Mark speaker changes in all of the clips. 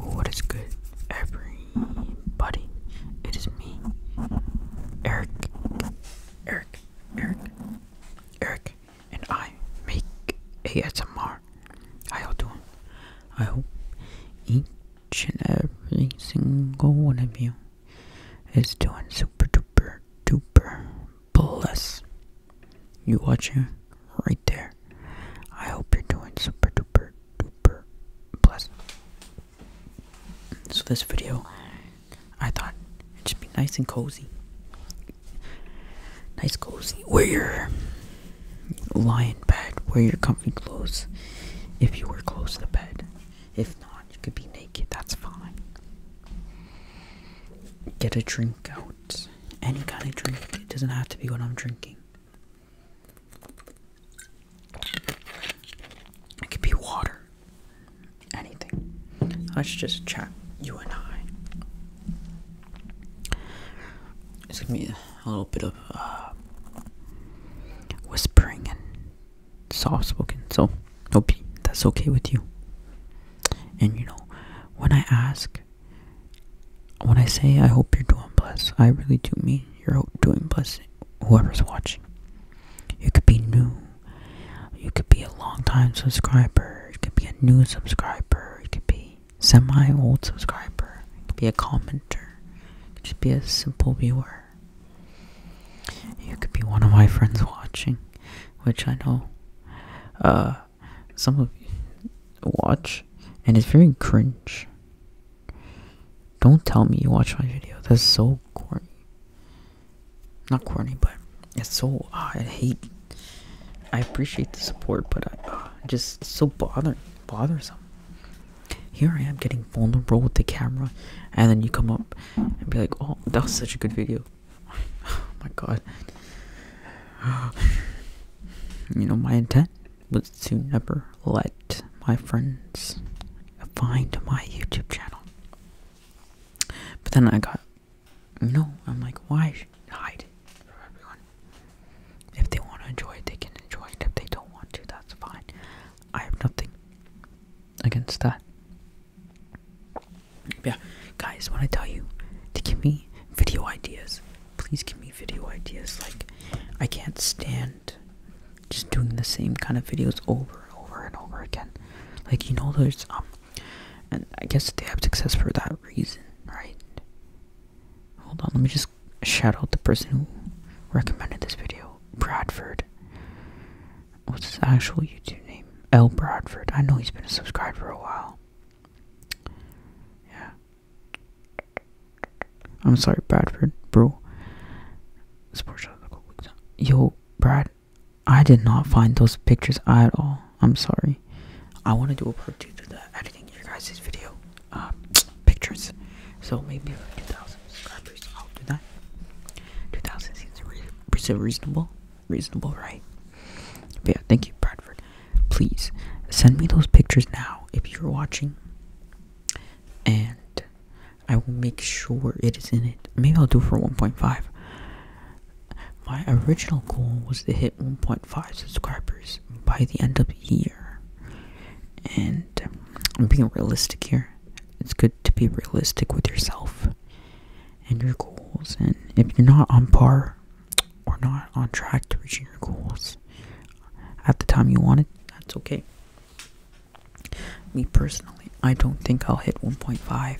Speaker 1: What is good, everybody? It is me, Eric, Eric, Eric, Eric, and I make ASMR. How you I hope each and every single one of you it's doing super duper duper bless. You watching right there. I hope you're doing super duper duper bless. So this video, I thought it'd just be nice and cozy. Nice cozy. Wear your lying bed. Wear your comfy clothes. If you were close to bed, if not, you could be naked, that's fine. Get a drink out. Any kind of drink, it doesn't have to be what I'm drinking. It could be water. Anything. Let's just chat, you and I. It's gonna be a little bit of uh, whispering soft spoken. So hope that's okay with you. And you know, when I ask, when I say I hope you're doing blessed, I really do mean you're doing blessed. Whoever's watching, you could be new, you could be a long time subscriber, you could be a new subscriber, you could be semi old subscriber, you could be a commenter, you could just be a simple viewer. You could be one of my friends watching, which I know uh, some of you watch, and it's very cringe. Don't tell me you watch my video. That's so corny. Not corny, but it's so. Ah, I hate. I appreciate the support, but I ah, just so bother bothersome. Here I am getting vulnerable with the camera, and then you come up and be like, oh, that was such a good video. oh my god. you know, my intent was to never let my friends find my YouTube channel. But then I got, you know, I'm like, why hide it for everyone? If they want to enjoy it, they can enjoy it. If they don't want to, that's fine. I have nothing against that. Yeah, guys, when I tell you to give me video ideas, please give me video ideas. Like, I can't stand just doing the same kind of videos over and over and over again. Like, you know, there's, um, and I guess they have success for that reason, right? Hold on, let me just shout out the person who recommended this video, Bradford. What's his actual YouTube name? L. Bradford. I know he's been a subscriber for a while. Yeah. I'm sorry, Bradford, bro. Sports Yo, Brad, I did not find those pictures at all. I'm sorry. I want to do a part two to the editing of your guys's video uh, pictures. So maybe like 2000 subscribers I'll do that 2,000 seems re reasonable reasonable right yeah thank you Bradford please send me those pictures now if you're watching and I will make sure it is in it maybe I'll do for 1.5 my original goal was to hit 1.5 subscribers by the end of the year and I'm being realistic here it's good to be realistic with yourself and your goals. And if you're not on par or not on track to reach your goals at the time you want it, that's okay. Me personally, I don't think I'll hit 1.5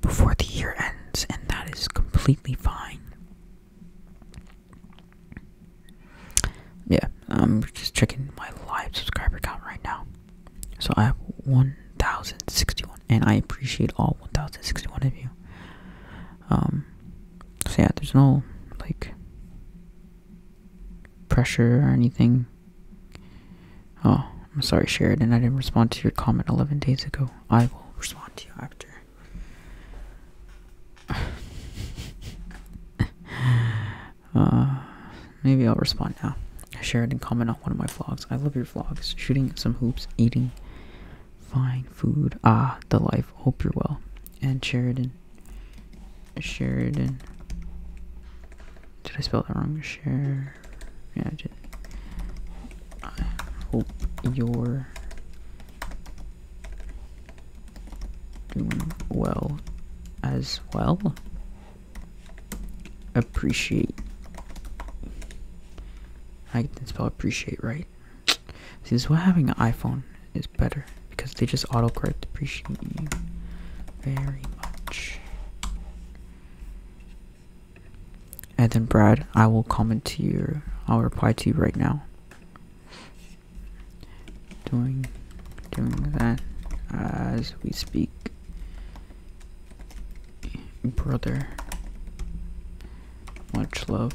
Speaker 1: before the year ends, and that is completely fine yeah, I'm just checking my live subscriber count right now. So I have 1,061, and I appreciate all 1,061 of you. Um, so yeah, there's no like pressure or anything. Oh, I'm sorry, Sheridan. I didn't respond to your comment 11 days ago. I will respond to you after. Uh, maybe I'll respond now. Share and comment on one of my vlogs. I love your vlogs. Shooting some hoops, eating fine food. Ah, the life. Hope you're well. And Sheridan. Sheridan. Did I spell that wrong? Share. Yeah, I did. I hope you're doing mm, well as well. Appreciate. I can spell appreciate right. Since this is why having an iPhone is better because they just autocorrect appreciate very much. And then Brad, I will comment to you. I'll reply to you right now doing doing that as we speak brother much love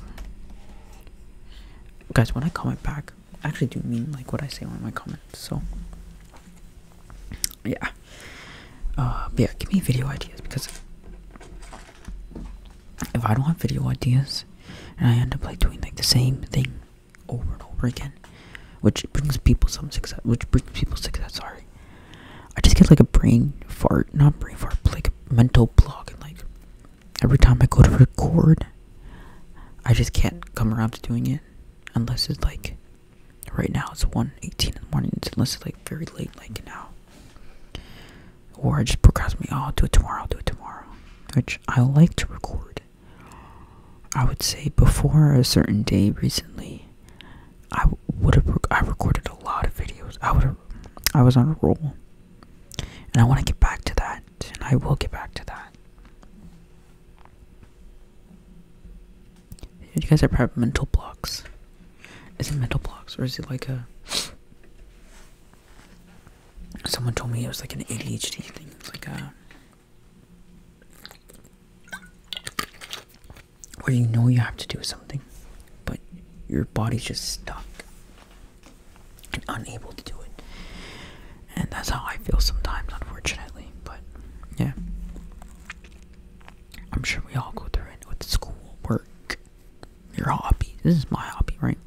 Speaker 1: guys when i comment back I actually do mean like what i say when I comment. so yeah uh yeah give me video ideas because if i don't have video ideas and i end up like doing like the same thing over and over again, which brings people some success. Which brings people success. Sorry, I just get like a brain fart, not brain fart, like a mental block, and like every time I go to record, I just can't come around to doing it unless it's like right now it's 1.18 in the morning unless it's like very late like now or i just procrastinate oh i'll do it tomorrow i'll do it tomorrow which i like to record I would say before a certain day recently, I would have I recorded a lot of videos. I would I was on a roll, and I want to get back to that, and I will get back to that. You guys are probably mental blocks. Is it mental blocks or is it like a? Someone told me it was like an ADHD thing. It's like a where you know you have to do something, but your body's just stuck and unable to do it. And that's how I feel sometimes, unfortunately. But yeah, I'm sure we all go through it with school, work, your hobby. This is my hobby, right?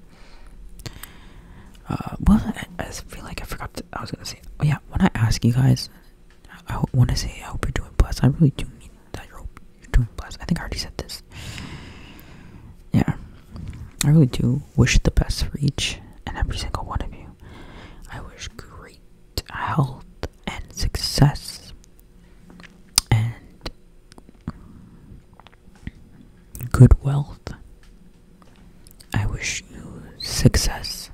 Speaker 1: Uh, well, I, feel like I forgot. To, I was gonna say, oh yeah, when I ask you guys, I, want to say I hope you're doing best. I really do mean that you're, you're doing best. I think I already said this. Yeah, I really do wish the best for each and every single one of you. I wish great health and success and good wealth. I wish you success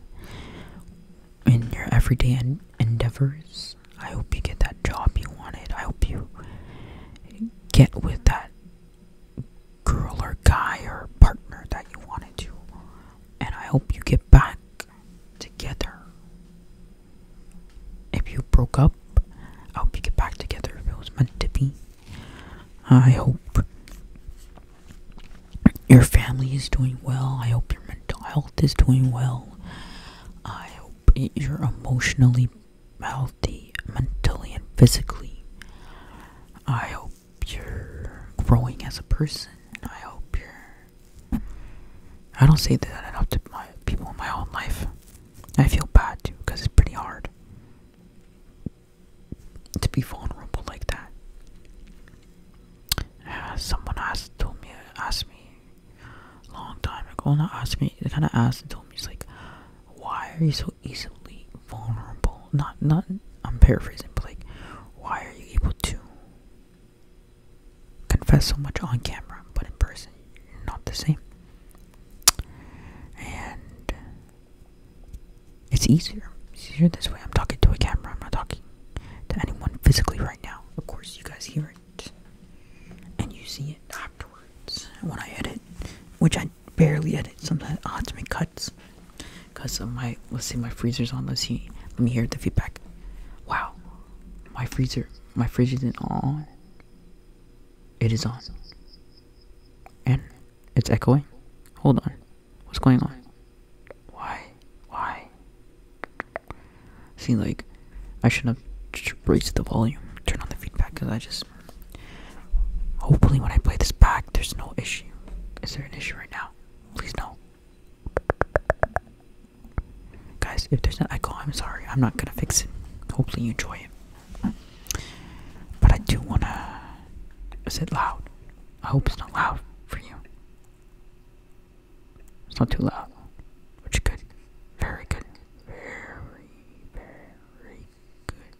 Speaker 1: in your everyday endeavors. I hope you get that job you wanted. I hope you get with that girl or guy or partner that you wanted to. And I hope you get back together. If you broke up, I hope you get back together if it was meant to be. I hope your family is doing well. I hope your mental health is doing well. I hope you're emotionally healthy, mentally, and physically. I hope you're growing as a person. I hope you're. I don't say that enough to my people in my own life. I feel bad too because it's pretty hard to be vulnerable like that. Uh, someone asked told me asked me a long time ago, not asked me. They kind of asked and told me, it's like, why are you so easily vulnerable? Not not. I'm paraphrasing, but like, why are you able to confess so much on camera, but in person, not the same? And it's easier. It's easier this way. I'm talking to a camera. I'm not talking to anyone physically right now. Of course, you guys hear it. And you see it afterwards when I edit, which I barely edit. Sometimes I have to make cuts because of my, let's see, my freezer's on. Let's see. Let me hear the feedback. Wow. My freezer, my fridge isn't on. It is on. And it's echoing? Hold on. What's going on? Why? Why? See, like, I should have raised the volume, turn on the feedback, because I just... Hopefully when I play this back, there's no issue. Is there an issue right now? Please no. Guys, if there's an echo, I'm sorry. I'm not gonna fix it. Hopefully you enjoy it. But I do wanna. Is it loud? I hope it's not loud for you. It's not too loud. Which is good. Very good. Very, very good.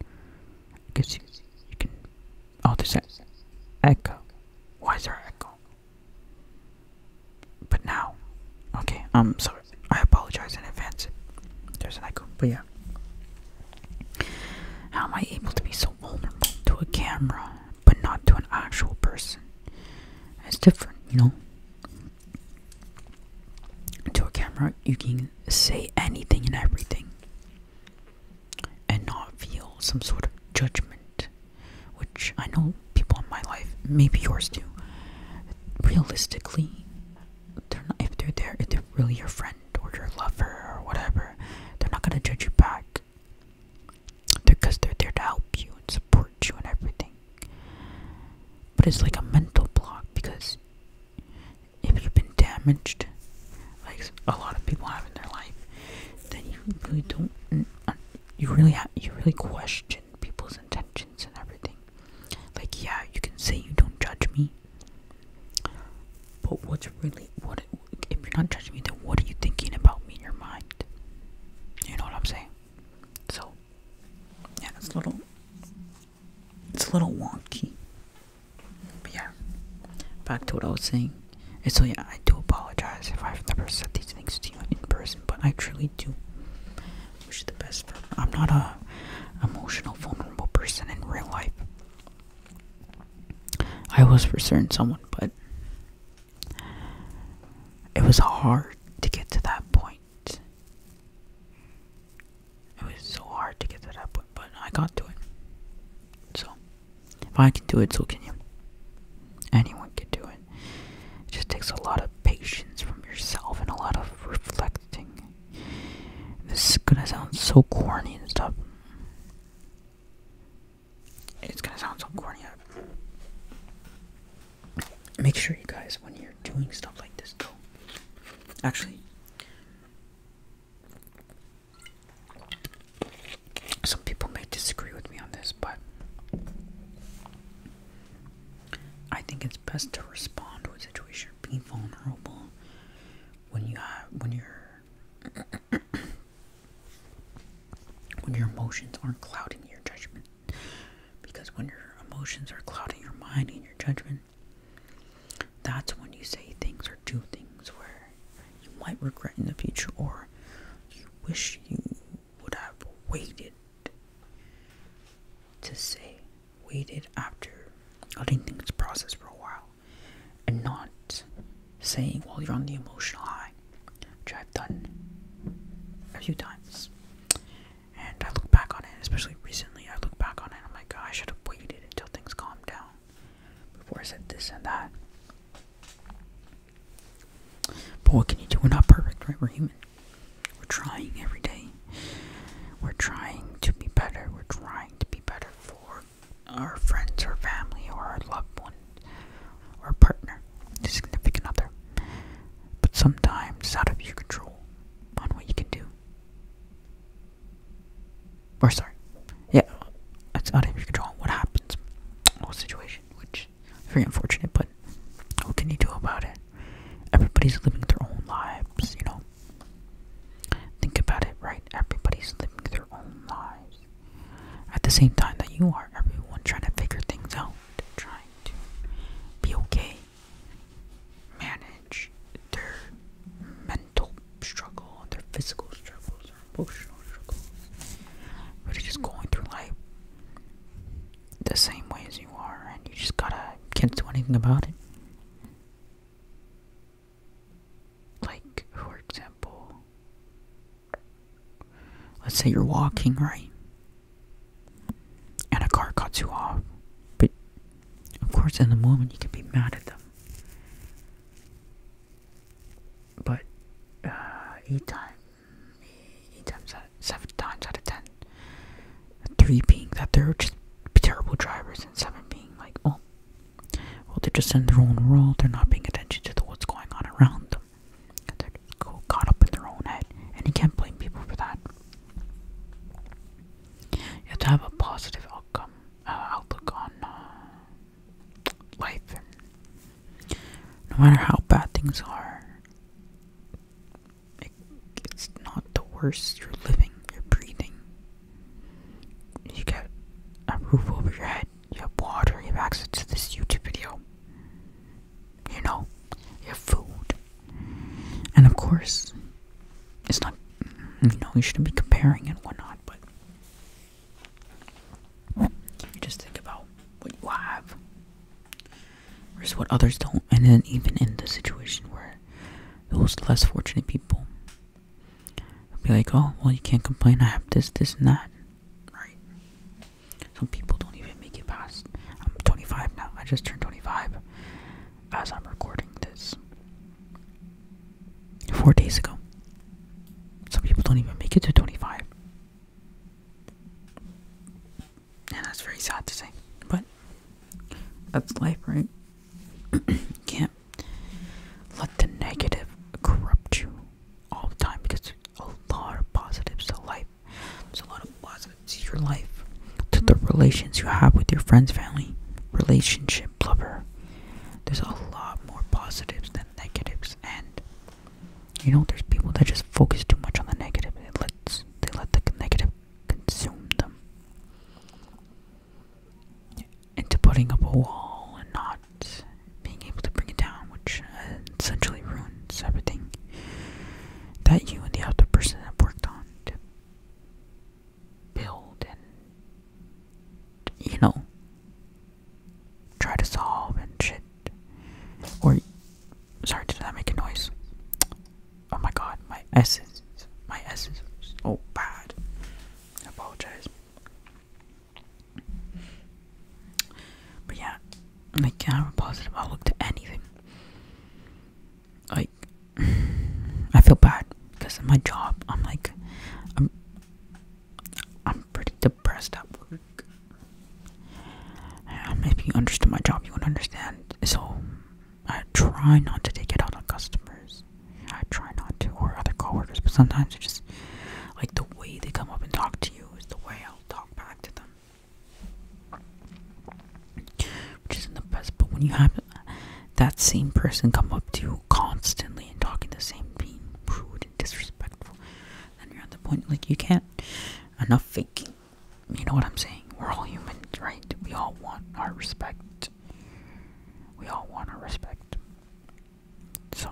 Speaker 1: I guess you, you can. Oh, there's that echo. Why is there echo? But now. Okay, um, so I apologize in advance. There's an echo, but yeah. How am I able to be so vulnerable to a camera but not to an actual person? It's different, you know? To a camera, you can say anything and everything and not feel some sort of judgment, which I know people in my life, maybe yours do. Realistically, they're not if they're there if they're really your friend or your lover or whatever they're not gonna judge you back because they're, they're there to help you and support you and everything but it's like a mental block because if you've been damaged like a lot of people have in their life then you really don't you really have you really question people's intentions and everything like, yeah, you can say you don't judge me, but what's really what? If you're not judging me, then what are you thinking about me in your mind? You know what I'm saying? So, yeah, it's a little, it's a little wonky. yeah, back to what I was saying. And so yeah, I do apologize if I've never said these things to you in person, but I truly do wish you the best. I'm not a emotional, vulnerable person in real life. I was for certain someone, but it was hard to get to that point. It was so hard to get to that point, but I got to it. So, if I can do it, so can you. Anyone can do it. It just takes a lot of patience from yourself and a lot of reflecting this is gonna sound so corny and stuff. It's gonna sound so corny. Make sure you guys, when you're doing stuff like this, though. Actually, some people may disagree with me on this, but I think it's best to respond to a situation, being vulnerable when you have when you're when your emotions aren't clouding your judgment. Because when your emotions are clouding your mind and your judgment, that's when you say things or do things where you might regret in the future or you wish you would have waited to say waited after letting things process for a while and not saying while you're on the emotional high, which I've done a few times. And I look back on it, especially recently, I look back on it I'm like, I should have waited until things calmed down before I said this and that. But what can you do? We're not perfect, right? We're human. We're trying every day. We're trying to be better. We're trying to be better for our friends or family or our loved ones, or partner, significant other. But sometimes it's out of your control on what you can do. Or sorry. Yeah, it's out of your control on what happens. Whole situation, which very unfortunate, but what can you do about it? Everybody's living their own lives, you know. Think about it, right? Everybody's living their own lives. At the same time that you are, everyone trying to figure things out, trying to be okay, manage their mental struggle, their physical struggles, their emotional struggles. Really just going through life the same way as you are, and you just gotta can't do anything about it. Like, for example, let's say you're walking, right? And a car cuts you off. But, of course, in the moment, you can be mad at them. But, uh, each time eight times out, seven times out of ten. Three being that they're just terrible drivers, and seven being like, oh, well, they're just in their own world. They're not paying attention to what's going on around them. They're just caught up in their own head, and you can't blame people for that. You have to have a positive outcome, uh, outlook on uh, life, no matter how bad things are, it's not the worst. You're living, you're breathing. You get a roof over your head, you have water, you have access to this YouTube video. You know, you have food. And of course, it's not, you know, you shouldn't be comparing and whatnot, but you just think about what you have versus what others don't, and then even in the situation where those less fortunate people be like, oh, well, you can't complain. I have this, this, and that, right? Some people don't even make it past. I'm 25 now. I just turned 25 as I'm recording this four days ago. Some people don't even make it to 25 and that's very sad to say, but that's life, right? Can't let the negative corrupt you all the time because there's a lot of positives to life. There's a lot of positives to your life, to the relations you have with your friends, family, relationship, lover. There's a lot more positives than negatives, and you know, there's people that just focus too much on the negative. It they let the negative consume them into putting up a wall and not being able to bring it down, which uh, essentially ruins everything that you and the other person have worked on build and, you know, try to solve and shit. Or Sorry, did that make a noise? Oh my god, my essence. My essence oh bad. I apologize. But yeah, I can't have a positive outlook to anything. Like, I feel bad because of my job. I'm like, I'm, I'm pretty depressed at work. Um, if you understood my job, you would understand. So I try not to take it out on customers. I try not to, or other coworkers. But sometimes it's just like the way they come up and talk to you is the way I'll talk back to them, which isn't the best. But when you have that same person come up to you constantly and talking the same, being rude and disrespectful, then you're at the point like you can't. Enough faking you know what I'm saying? We're all humans, right? We all want our respect. We all want our respect. So,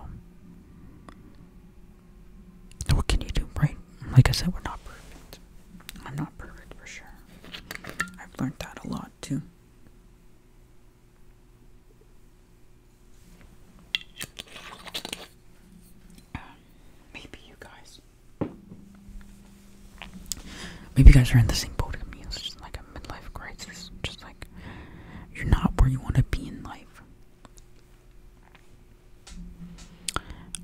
Speaker 1: what can you do, right? Like I said, we're not perfect. I'm not perfect for sure. I've learned that a lot too. Um, maybe you guys Maybe you guys are in the same boat as me. It's just like a midlife crisis. Just like you're not where you want to be in life.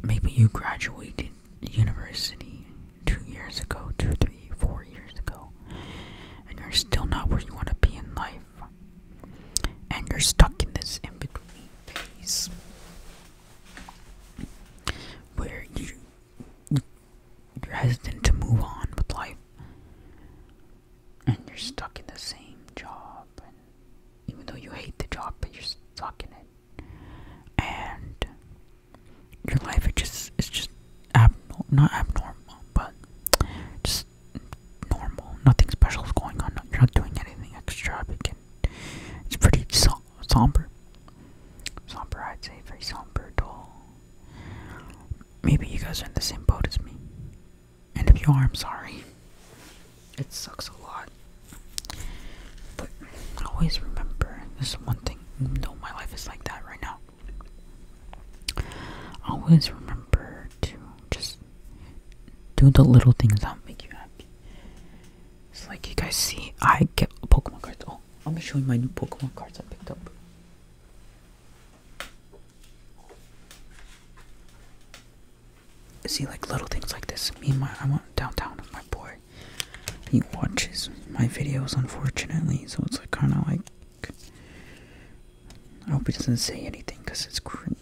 Speaker 1: Maybe you graduated university two years ago, two, three, four years ago, and you're still not where you want to be in life. And you're stuck in this in between phase where you you're hesitant to move on with life and you're stuck in the same job and even though you hate the job but you're stuck in it and your life it just it's just abnormal not abnormal but just normal nothing special is going on you're not doing anything extravagant it's pretty somber. Somber, I'd say. Very somber, dull. Maybe you guys are in the same boat as me. And if you are, I'm sorry. It sucks a lot. But always remember this is one thing. though my life is like that right now. Always remember to just do the little things that make you happy. It's like you guys see, I get Pokemon cards. Oh, let me show you my new Pokemon cards I picked up. See, like little things like this. Me and my, I went downtown with my boy. He watches my videos, unfortunately, so it's like kind of like. I hope he doesn't say anything because it's cringe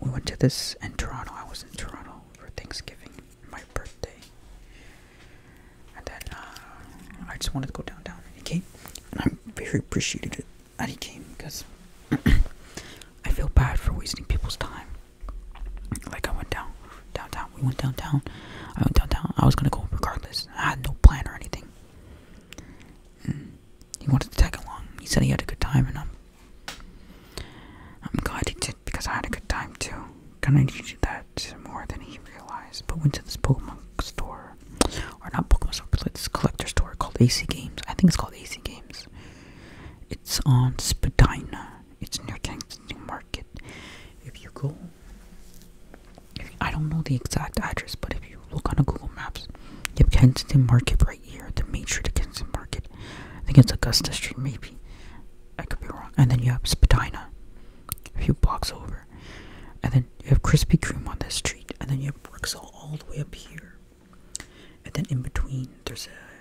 Speaker 1: we went to this in Toronto. I was in Toronto for Thanksgiving, my birthday. And then uh, I just wanted to go downtown. And he came. And I'm very appreciative that he came because I feel bad for wasting people's time. Like I went down downtown. We went downtown. I went downtown. I was gonna go regardless. I had no plan or anything. Mm. he wanted to tag along. He said he had a good time, and i I'm glad he did because I had a good time too. Kinda needed that more than he realized. But went to this Pokemon store. Or not Pokemon store, It's like this collector store called AC Games. I think it's called AC Games. It's on Spadina. It's near Kensington Market. If you go if, I don't know the exact address, but if you look on a Google Maps, you have Kensington Market right here at the main street against the market. I think it's Augusta Street, maybe. I could be wrong. And then you have Spadina, a few blocks over. And then you have Krispy Kreme on this street. And then you have Rexall all the way up here. And then in between, there's a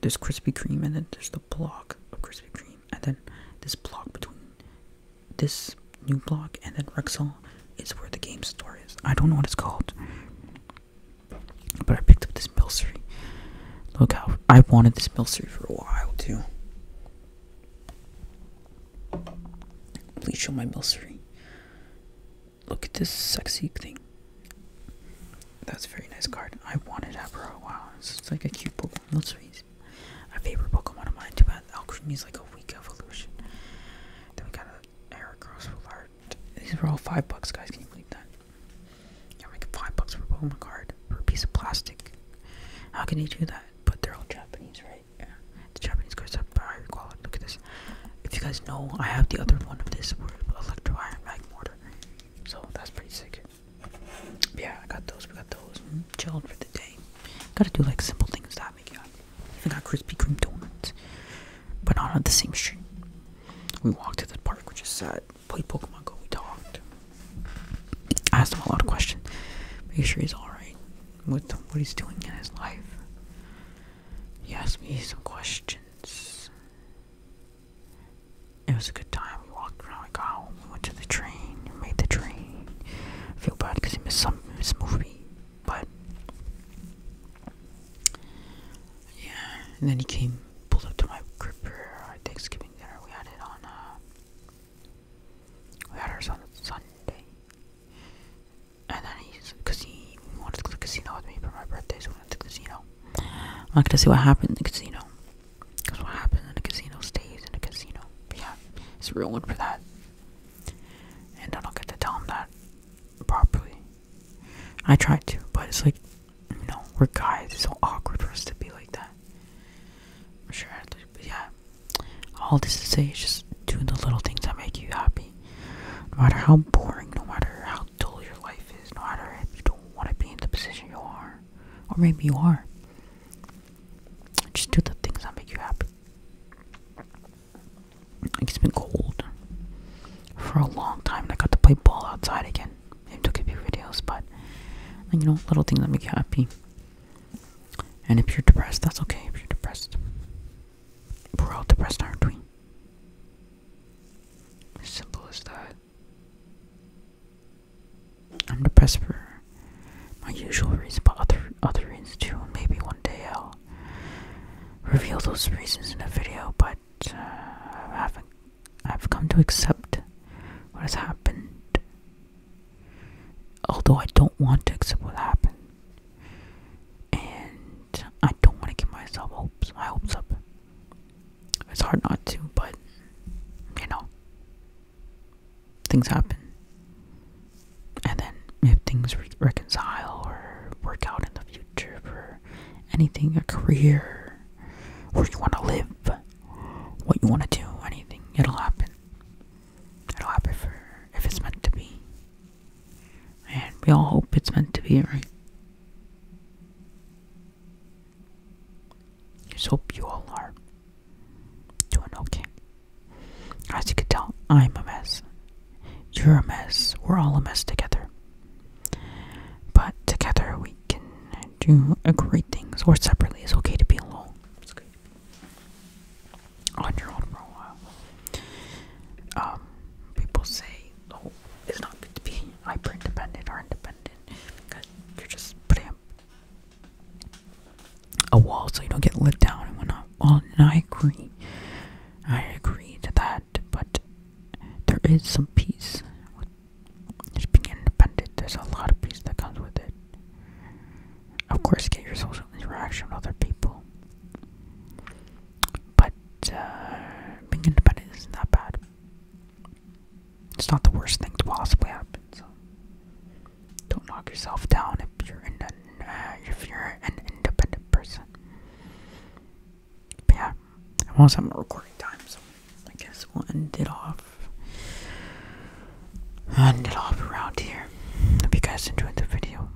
Speaker 1: there's Krispy Kreme, and then there's the block of Krispy Kreme, and then this block between this new block and then Rexall is where the game store is. I don't know what it's called. But I picked up this milsery. Look how I wanted this milsery for a while too. Please show my milsery. Look at this sexy thing. That's a very nice card. I wanted that for a while. It's like a cute Pokemon milseries. A favorite Pokemon of mine. Too bad Alcremie is like a weak evolution. Then we got an Heracross with these were all five bucks, guys. Can you believe that? You're making five bucks for a Pokemon card for a piece of plastic. How can you do that? But they're all Japanese, right? Yeah. The Japanese cards are higher quality. Look at this. If you guys know, I have the other one of this where electro iron mag mortar. So that's pretty sick. yeah, I got those. We got those. Mm Chilled for the day. Gotta do like simple things that we my god. Even got Krispy Kreme donuts. But not on the same street. We walked to the park, which is sad. Played Pokemon Go, we talked. I asked him a lot of questions. Make sure he's alright with what he's doing in his life. He asked me some questions. It was a good time. We walked around, we got home, we went to the train, we made the train. I feel bad because he missed some his movie. But yeah, and then he came, pulled up to my crib for our Thanksgiving dinner. We had it on. Uh, we had ours on Sunday, and then he's because he wanted to go to the casino with me for my birthday, so we went to the casino. I'm gonna see what happened in the casino, because what happens in the casino stays in the casino. But yeah, it's real one for that. And then I'll get to tell him that properly. I tried to, but it's like, you know, we're guys. It's so awkward for us to be like that. sure, but yeah. All this to say is just do the little things that make you happy. No matter how boring, no matter how dull your life is, no matter if you don't want to be in the position you are, or maybe you are. Just do the things that make you happy it's been cold for a long time. And I got to play ball outside again. I took a few videos, but you know, little things that make you happy. And if you're depressed, that's okay. If you're depressed, we're all depressed, aren't we? As Simple as that. I'm depressed for my usual reason, but other other reasons too. Maybe one day I'll reveal those reasons in a video, but uh, I have I've come to accept what has happened, although I don't want to accept what happened, and I don't want to give myself hopes, my hopes up. It's hard not to, but you know, things happen. And then if things reconcile or work out in the future or anything, a career, where you want to live, what you want to do, anything, it'll happen. It'll happen for if it's meant to be. And we all hope it's meant to be, right? Just hope you all are doing okay. As you can tell, I'm a mess. You're a mess. We're all a mess together. But together we can do great things, or separately. It's okay to be alone. On your own for a while. Um, people say, oh, it's not good to be hyper independent or independent because you're just putting a wall so you don't get let down and whatnot. Well, and I agree. I agree to that, but there is some peace with just being independent. There's a lot of peace that comes with it. Of course, get your social interaction with other people, but uh, being independent isn't that bad. It's not the worst thing to possibly happen. So don't knock yourself down if you're an, uh, if you're an independent person. But yeah, I'm almost my recording time, so I guess we'll end it off. End it off around here. If you guys enjoyed the video,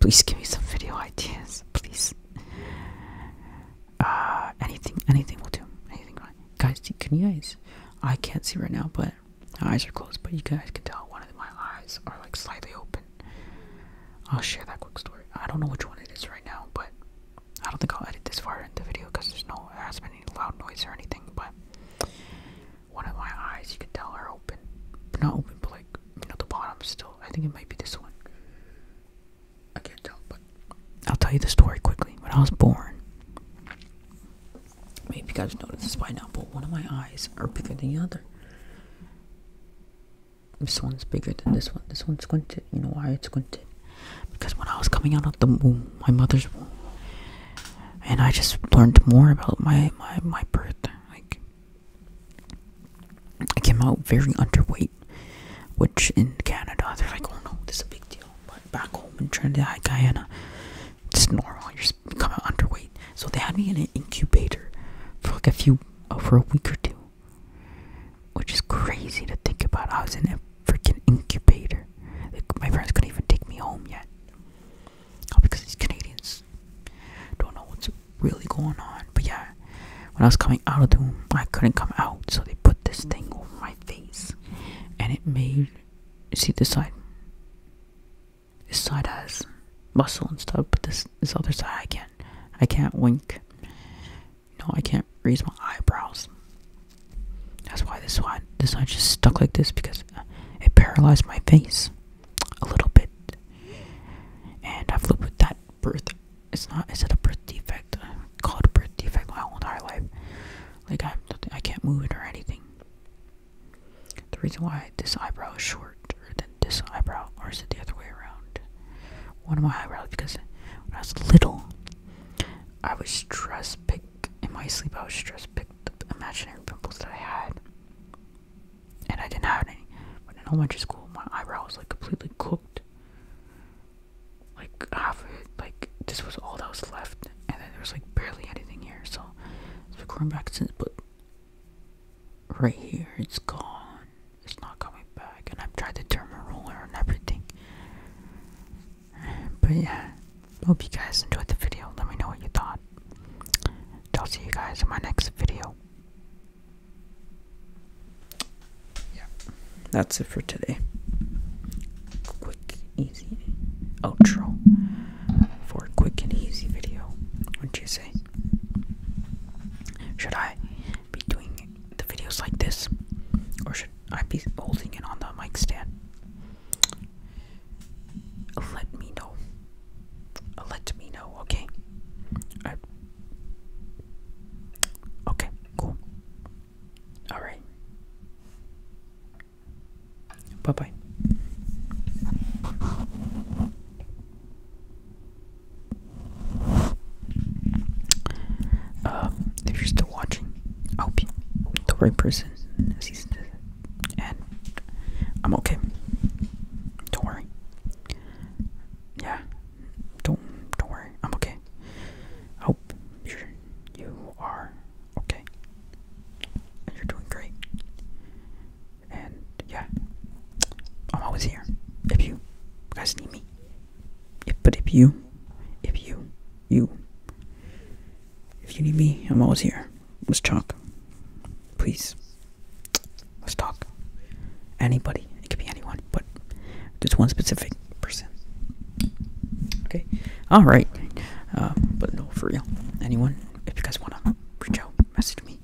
Speaker 1: please give me some video ideas, please. Uh, anything, anything will do. Anything, guys? Can you guys? I can't see right now, but my eyes are closed, but you guys can tell one of my eyes are like slightly open. I'll share that quick story. I don't know which one it is right now, but I don't think I'll edit this far into the video because there's no there hasn't been any loud noise or anything. But one of my eyes, you can tell, are open, not open, but like you know the bottom still. I think it might be this one. I can't tell, but I'll tell you the story quickly. When I was born, Maybe you guys noticed this by now, but one of my eyes are bigger than the other. This one's bigger than this one. This one's squinted. You know why it's squinted? Because when I was coming out of the womb, my mother's womb, and I just learned more about my my my birth. Like I came out very underweight, which in Canada they're like, oh no, this is a big deal. But back home in Trinidad, Guyana, it's normal. You're becoming underweight. So they had me in an incubator for like a few, uh, for a week or two, which is crazy to think about. I was in a freaking incubator. Like, my parents couldn't even take me home yet, oh, because these Canadians don't know what's really going on. But yeah, when I was coming out of the room, I couldn't come out, so they put this thing over my face, and it made see this side. This side has muscle and stuff, but this this other side I can't. I can't wink. No, I can't raise my eyebrows. That's why this side this side just stuck like this because uh, it paralyzed my face a little bit. And I've lived with that birth. It's not. Is it a birth defect? Called birth defect my whole entire life. Like I, I can't move it or anything. The reason why this eyebrow is shorter than this eyebrow, or is it the other way around? One of my eyebrows, because when I was little, I was stress picked in my sleep. I was stress picked the imaginary pimples that I had, and I didn't have any. But in elementary school, my eyebrow was like completely cooked, like half of it. Like this was all that was left, and then there was like barely anything here. So it's been going back since, but right here, it's gone. It's not coming back. And I've tried the turn and everything. But yeah, hope you guys enjoyed the video. Let me know what you thought. I'll see you guys in my next video. Yeah, that's it for today. Quick easy outro for a quick and easy video. What'd you say? Should I be doing the videos like this? Or should I be holding it on the mic stand? Let me know. Let me know, okay? Okay, cool. Alright. Bye bye. Um, if you're still watching, I'll be the right person. And I'm okay. Don't worry. Yeah. Don't don't worry. I'm okay. Hope you are okay. And you're doing great. And yeah, I'm always here. If you guys need me. If, but if you, if you, you, if you need me, I'm always here. Let's talk. Please. Let's talk. Anybody. It could be anyone, but just one specific person. Okay? Alright. Uh, but no, for real. Anyone? if you guys want to reach out, message me.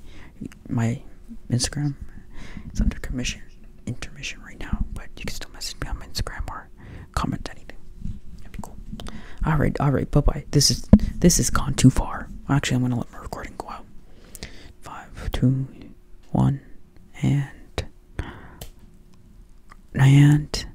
Speaker 1: My Instagram its under commission intermission right now, but you can still message me on my Instagram or comment anything. That'd be cool. All right, all right, bye bye. This is this has gone too far. Actually, I'm gonna let my recording go out. Five, two, one, and and.